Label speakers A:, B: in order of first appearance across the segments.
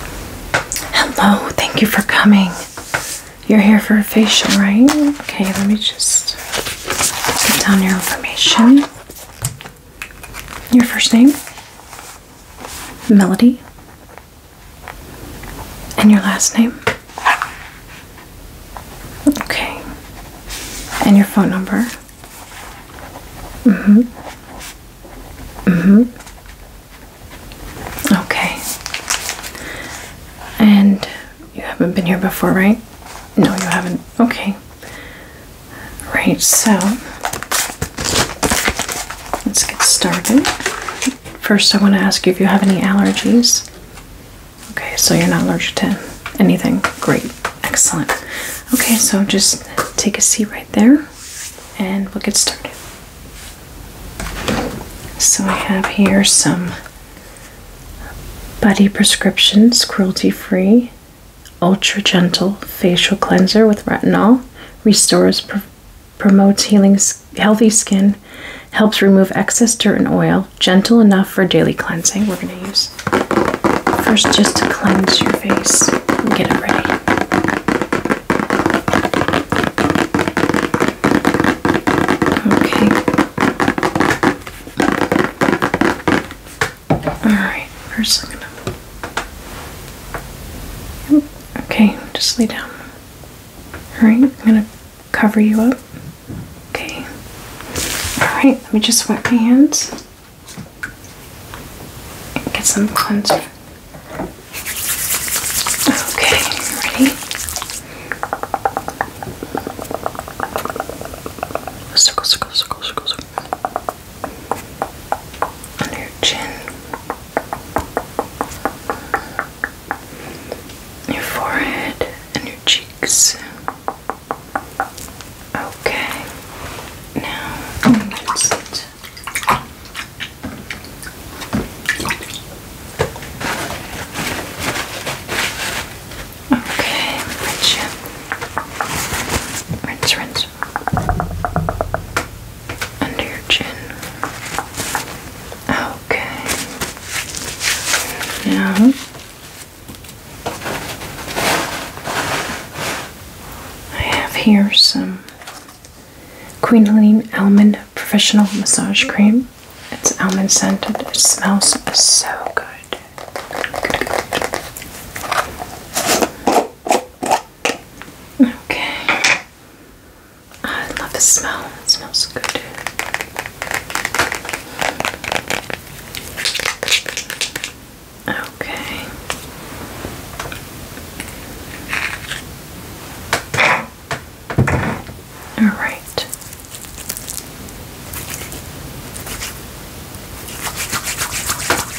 A: Hello, thank you for coming. You're here for a facial, right? Okay, let me just get down your information. Your first name? Melody. And your last name? Okay. And your phone number? Mm hmm. Mm hmm. Okay. And you haven't been here before, right? No, you haven't. Okay. Right, so let's get started. First, I want to ask you if you have any allergies. Okay, so you're not allergic to anything. Great. Excellent. Okay, so just take a seat right there and we'll get started. So I have here some Buddy Prescriptions Cruelty Free Ultra Gentle Facial Cleanser with Retinol. Restores, promotes healing, healthy skin, helps remove excess dirt and oil. Gentle enough for daily cleansing. We're going to use first just to cleanse your face and get it ready. Okay. Alright, first Okay, just lay down. Alright, I'm gonna cover you up. Okay. Alright, let me just wet my hands. Get some cleanser. Okay, ready? Circle, circle, circle, circle, circle. Under your chin. Your forehead and your cheeks. Okay. Now that's it. Okay, which rinse, rinse under your chin. Okay. Now I have here some Quinoline Almond Professional Massage Cream. It's almond scented. It smells so good. Okay. I love the smell. It smells good. Okay. All right.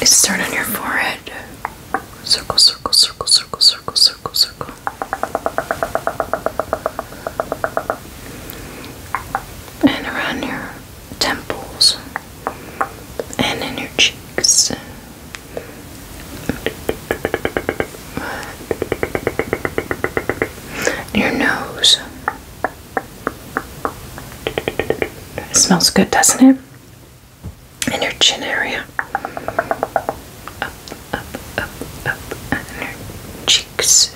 A: Start on your forehead. Circle, circle, circle, circle, circle, circle, circle. And around your temples and in your cheeks. Your nose. It smells good, doesn't it? And your chin area. Up, up, up, up, and your cheeks.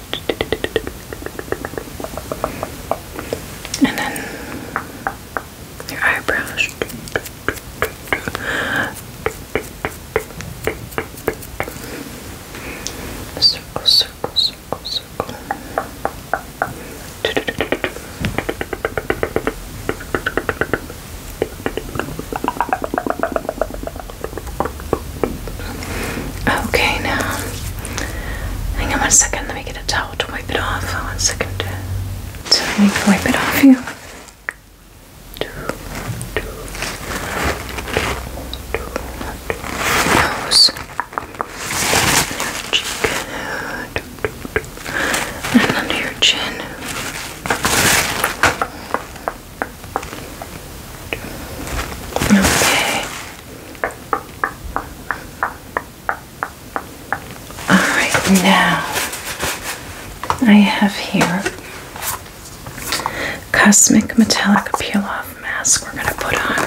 A: And then your eyebrows. Circle, circle, circle, circle. Okay, now hang on one second. Let me get a towel to wipe it off. One second. Uh, so I need wipe it off you. Nose, your cheek, and under your chin. Okay. Alright, now I have here Cosmic Metallic Peel Off Mask we're going to put on.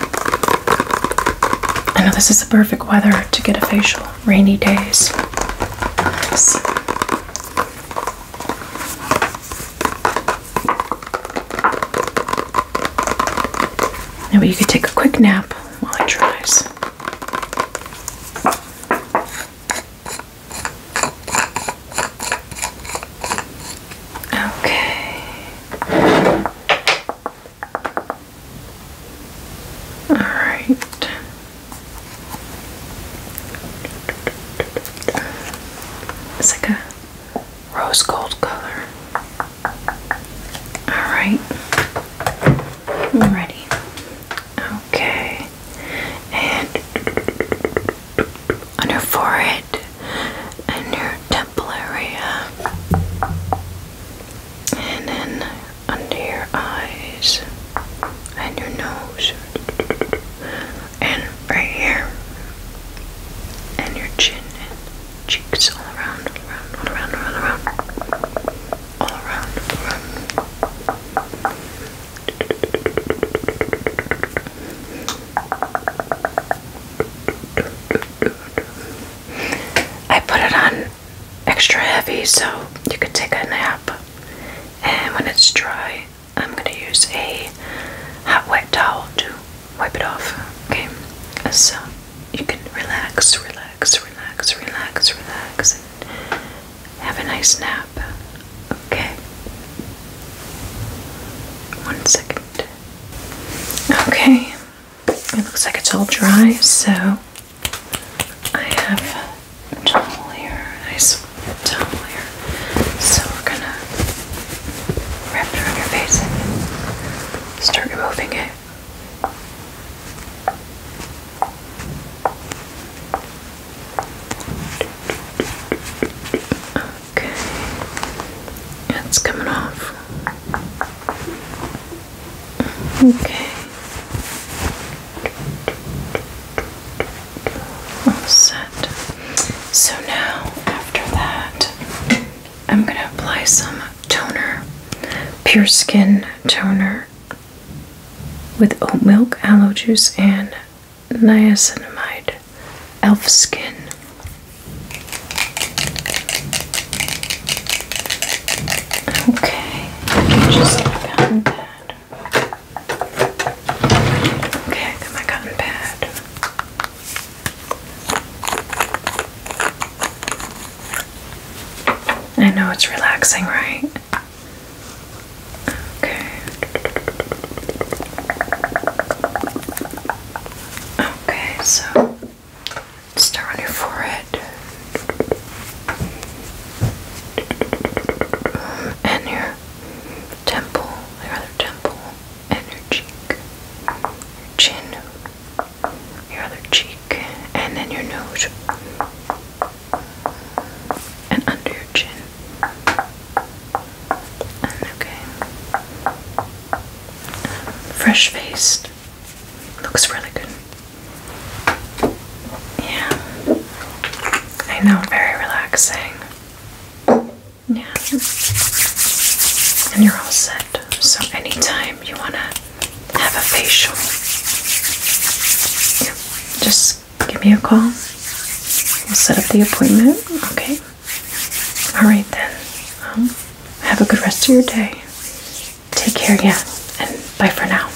A: I know this is the perfect weather to get a facial, rainy days. So, Maybe you could take a quick nap while it dries. Okay. All right. It's like a rose gold color. Alright. I'm ready. Okay. And on her forehead and your temple area. And then under your eyes and your nose and right here, and your chin and cheeks all around, all around, all around, all around, all around, all around. I put it on extra heavy so you could take a nap, and when it's dry, I'm going to use a hot wet towel to wipe it off. Okay, so you can relax, relax, relax, relax, relax, and have a nice nap. Okay, one second. Okay, it looks like it's all dry, so I have towel here, a nice towel here. So we're gonna wrap it around your face and start removing it. Okay, it's coming off. Okay, set. So now, after that, I'm going to apply some toner, pure skin toner with oat milk, aloe juice, and niacinamide elf skin. Okay, just pound that Okay, I got my cotton pad. I know it's relaxing, right? Okay. Okay, so start on your forehead and your temple, your other temple, and your cheek, chin, your other cheek, and then your nose, and under your chin. okay. Fresh faced. Looks really good. Yeah. I know, very relaxing. Yeah. And you're all set. So anytime you wanna have a facial, just give me a call. We'll set up the appointment. Okay. Alright then. Um, have a good rest of your day. Take care, yeah, and bye for now.